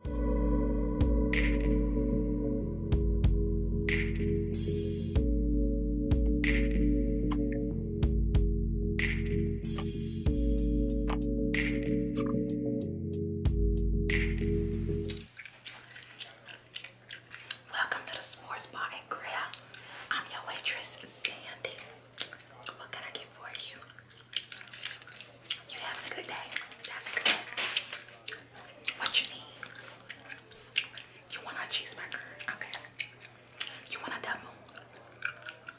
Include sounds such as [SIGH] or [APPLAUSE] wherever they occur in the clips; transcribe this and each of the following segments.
Welcome to the sports Bar and Grill. I'm your waitress, Sandy. What can I get for you? You having a good day? That's good. What you need? You want a cheeseburger? Okay. You want a double?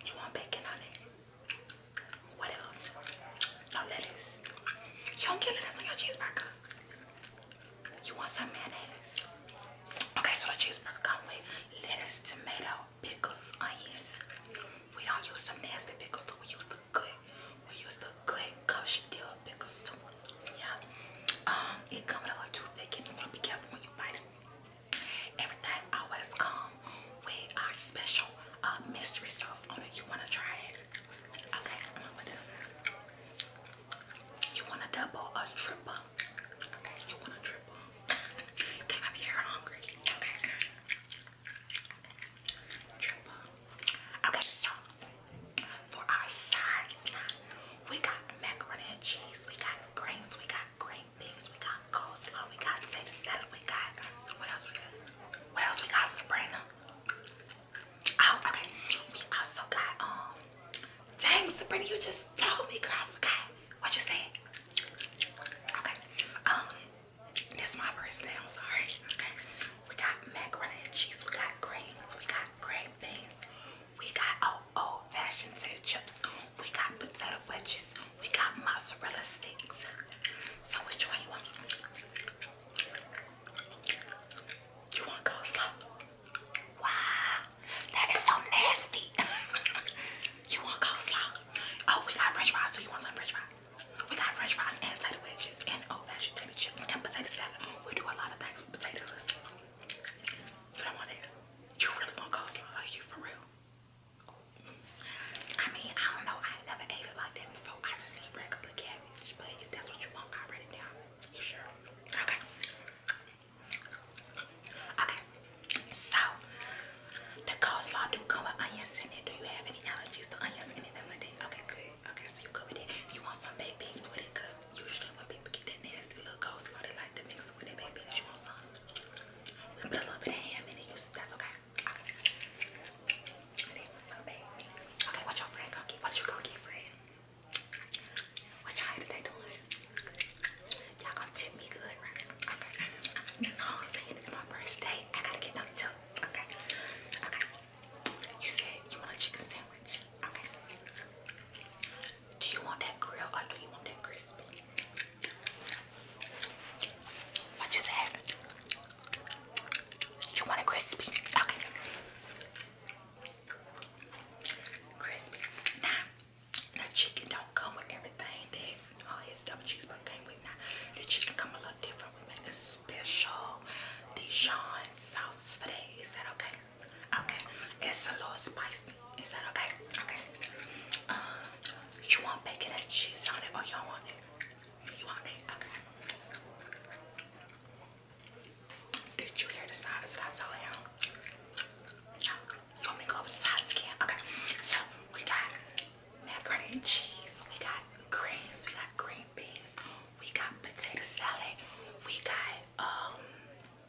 You want bacon on it? What else? No lettuce. You don't get lettuce on your cheeseburger. You want some mayonnaise? Okay, so the cheeseburger comes with lettuce, tomato, pickles, onions. We don't use some nasty pickles, do we use the click. We use the click cause she deal with pickles too. Yeah. Um, it comes with a little toothpick and be careful when you bite it. Everything always comes with our special uh, mystery sauce on it. You want to try it. Okay, You want a double or triple? you want a triple. [LAUGHS] Can I be here hungry? Okay. Triple. Okay, so for our sides now, we got macaroni and cheese, we got greens, we got green beans, we got coleslaw, we got potato salad, we got what else we got? What else we got? Sabrina. Oh, okay. We also got um dang Sabrina, you just told me girl, I forgot what you said. Okay. Um that's my birthday, I'm sorry. Okay. We got macaroni and cheese, we got greens, we got green beans, we got old fashioned set chips, we got potato wedges, we got mozzarella sticks. So which one you want? You want coleslaw? Wow, that is so nasty. [LAUGHS] you want coleslaw? Oh, we got french fries, so you want some french fries? We got french fries and potato wedges and old fashioned turkey chips and potato salad. We do a lot of things with potatoes. You don't want that. You really want coleslaw, you for real? I mean, I don't know. I never ate it like that before. I just eat regular cabbage. But if that's what you want, I write it down. You sure? Okay. Okay. So, the coleslaw do come with onions in it. Do you have any allergies to onions spending Okay, Okay, so you go with it. You want some baked beans with it? Because usually when people get that nasty little coleslaw, they like to mix with their baked beans. You want some? We put a little bit of ham in it. that's okay. Okay. And they want some gonna get? What you going friend? What y'all doing? Y'all gonna tip me good, right? Okay. No, [LAUGHS] it's my birthday. I gotta get no tip. Okay. Okay. You said you want a chicken sandwich. Okay. Do you want that grill do you want that crispy? What you said? You want it crispy? Okay. Crispy. Now, now chicken don't come with everything that all his double cheeseburger came with. the chicken come a little different we're a special Dijon sauce for that. Is that okay? Okay. It's a little spicy. Is that okay? Okay. Uh, you want bacon and cheese on it or you do want it? You want it? Okay. Did you hear the size that I told him? No. You want me to go over the size again? Okay. So we got macaroni and cheese. We got greens. We got green beans. We got potato salad. We got um,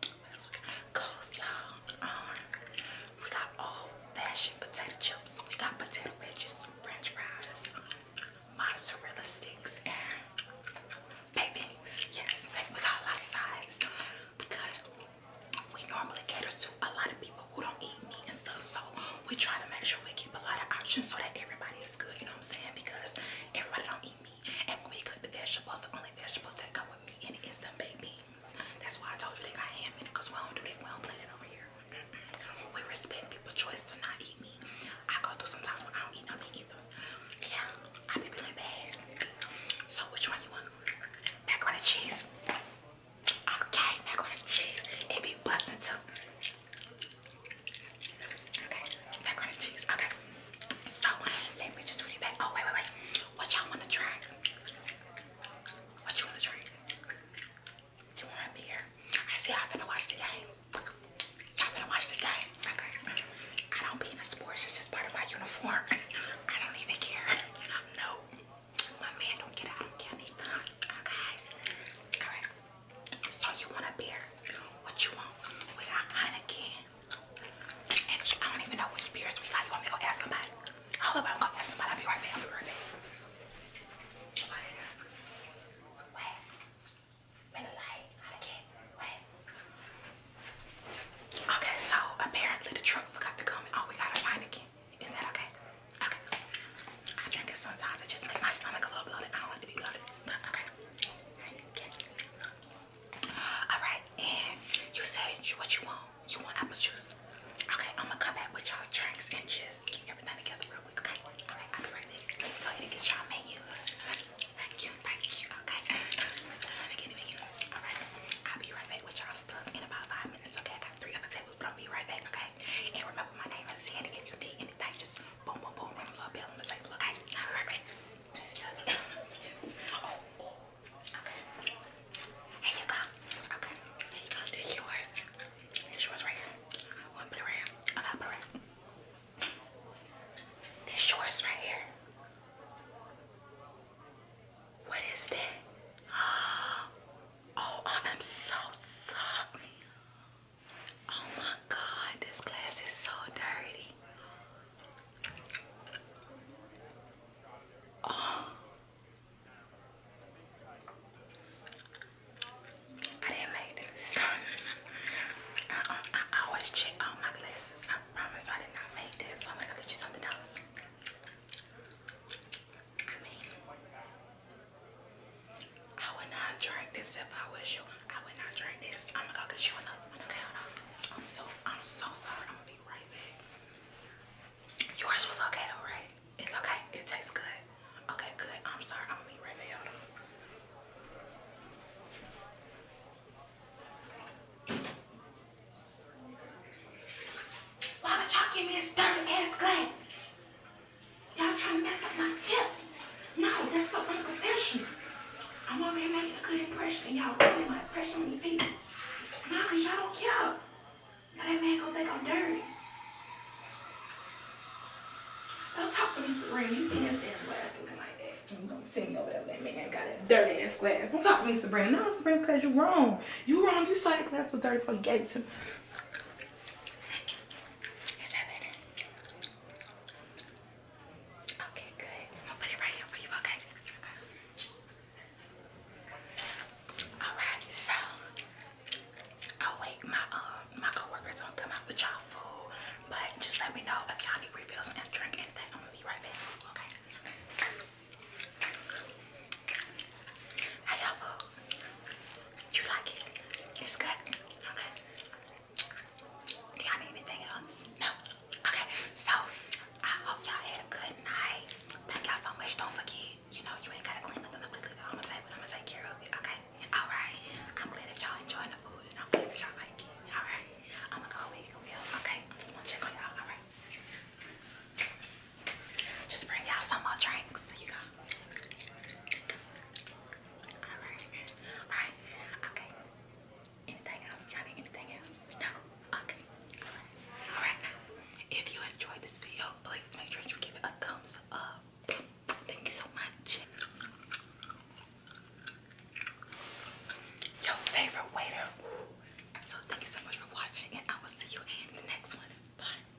what else we got? coleslaw. Um, we got old-fashioned potato chips. We got potato wedges, French fries, mozzarella sticks, and babies. Yes, we got a lot of sides because we normally cater to a lot of people people who don't eat meat and stuff. So we try to make sure we keep a lot of options so that everybody is good, you know what I'm saying? Because everybody don't eat meat. And when we cook the vegetables, the only vegetables that come with me and it is the baked beans. That's why I told you they got ham in it, because we don't do that, we don't play that over here. we respect people's choice to not eat me. I go through sometimes when I don't eat nothing meat either. Yeah, I be feeling bad. So which one you want? Macaroni cheese. Okay, macaroni and cheese. It be busting too. Okay, macaroni and cheese. Okay. So let me just read back. Oh wait, wait, wait. What y'all wanna try? What you wanna try? You want beer? I see y'all gonna watch the game. Y'all gonna watch the game. Okay. I don't be in the sports, it's just part of my uniform. [LAUGHS] I don't even care. [LAUGHS] No. My man don't get out of county. Okay. Alright. So you want a beer? What you want? We got Heineken. I don't even know which beers we got. You want me to go ask somebody? I'm going ask somebody. I'll be right back. Okay, so apparently the truck forgot to come oh we gotta find is that okay? Okay. I drink it sometimes. It just makes my stomach a little bloated. I don't like to be bloated. But okay. Alright, and you said what you want. You want apple juice. Okay, I'm gonna come back with y'all drinks and just get everything together real quick. Okay. Alright, I'll be right back. Let me get y'all menus. Thank you, thank you. Okay. [LAUGHS] Let me get the menus. Alright. I'll be right back with y'all stuff in about five minutes. Okay, I got three other we're be right back, okay? And remember, my name is Sandy. If you need anything, just boom, boom, boom, ring the little bell on the table, okay? All right, right. Excuse me. oh, okay. Here you go. Okay. Here you go. This is yours. This right here. I'm gonna put it right here. I This is [GASPS] Oh, I'm so sorry. Oh my god, this glass is so dirty. Oh. I didn't make this. [LAUGHS] Uh-uh, I, always check all my glasses. I promise I did not make this. I'm gonna get you something else. I mean, I would not drink this if I was you. I would not drink this. I'm gonna go get you another one. Okay, hold I'm so, I'm so sorry. I'm gonna be right back. Yours was okay though, right? It's okay. It tastes good. Okay, good. I'm sorry. I'm gonna be right back. Why would y'all give me this dirty ass glass? Y'all trying to mess up my tips? No, that's not my profession. I'm over here making a good impression, and y'all ruining my impression on the people. No, because y'all don't care. Now that man gonna think I'm dirty. Don't talk to me, Sabrina. You seen us there glass looking like that. You don't see me over there that man got that dirty ass glass. Don't talk to me, Sabrina. No, Sabrina, because you're wrong. You wrong. You sighted glass with dirty before you is that better? Okay, good. I'll put it right here for you, okay? Alright, so i wait my um my coworkers don't come out with y'all food. But just let me know if y'all need refills and drink anything. I'm gonna be right back. Okay. How you you like it? It's good? Okay. Do y'all need anything else? No? Okay. So, I hope y'all had a good night. Thank y'all so much. Don't forget, you know, you ain't got to clean nothing up. I'm going to take, I'm take care of it, okay? All right. I'm glad that y'all enjoying the food and I'm glad that y'all like it. All right. I'm going to go away. Okay. Just want to check on y'all. All right. Just bring y'all some more drinks. You go. Alright. Alright. Okay. Anything else? you anything else? No? Okay. Alright. If you enjoyed this video, please make sure you give it a thumbs up. Thank you so much. Your favorite waiter. So thank you so much for watching and I will see you in the next one. Bye.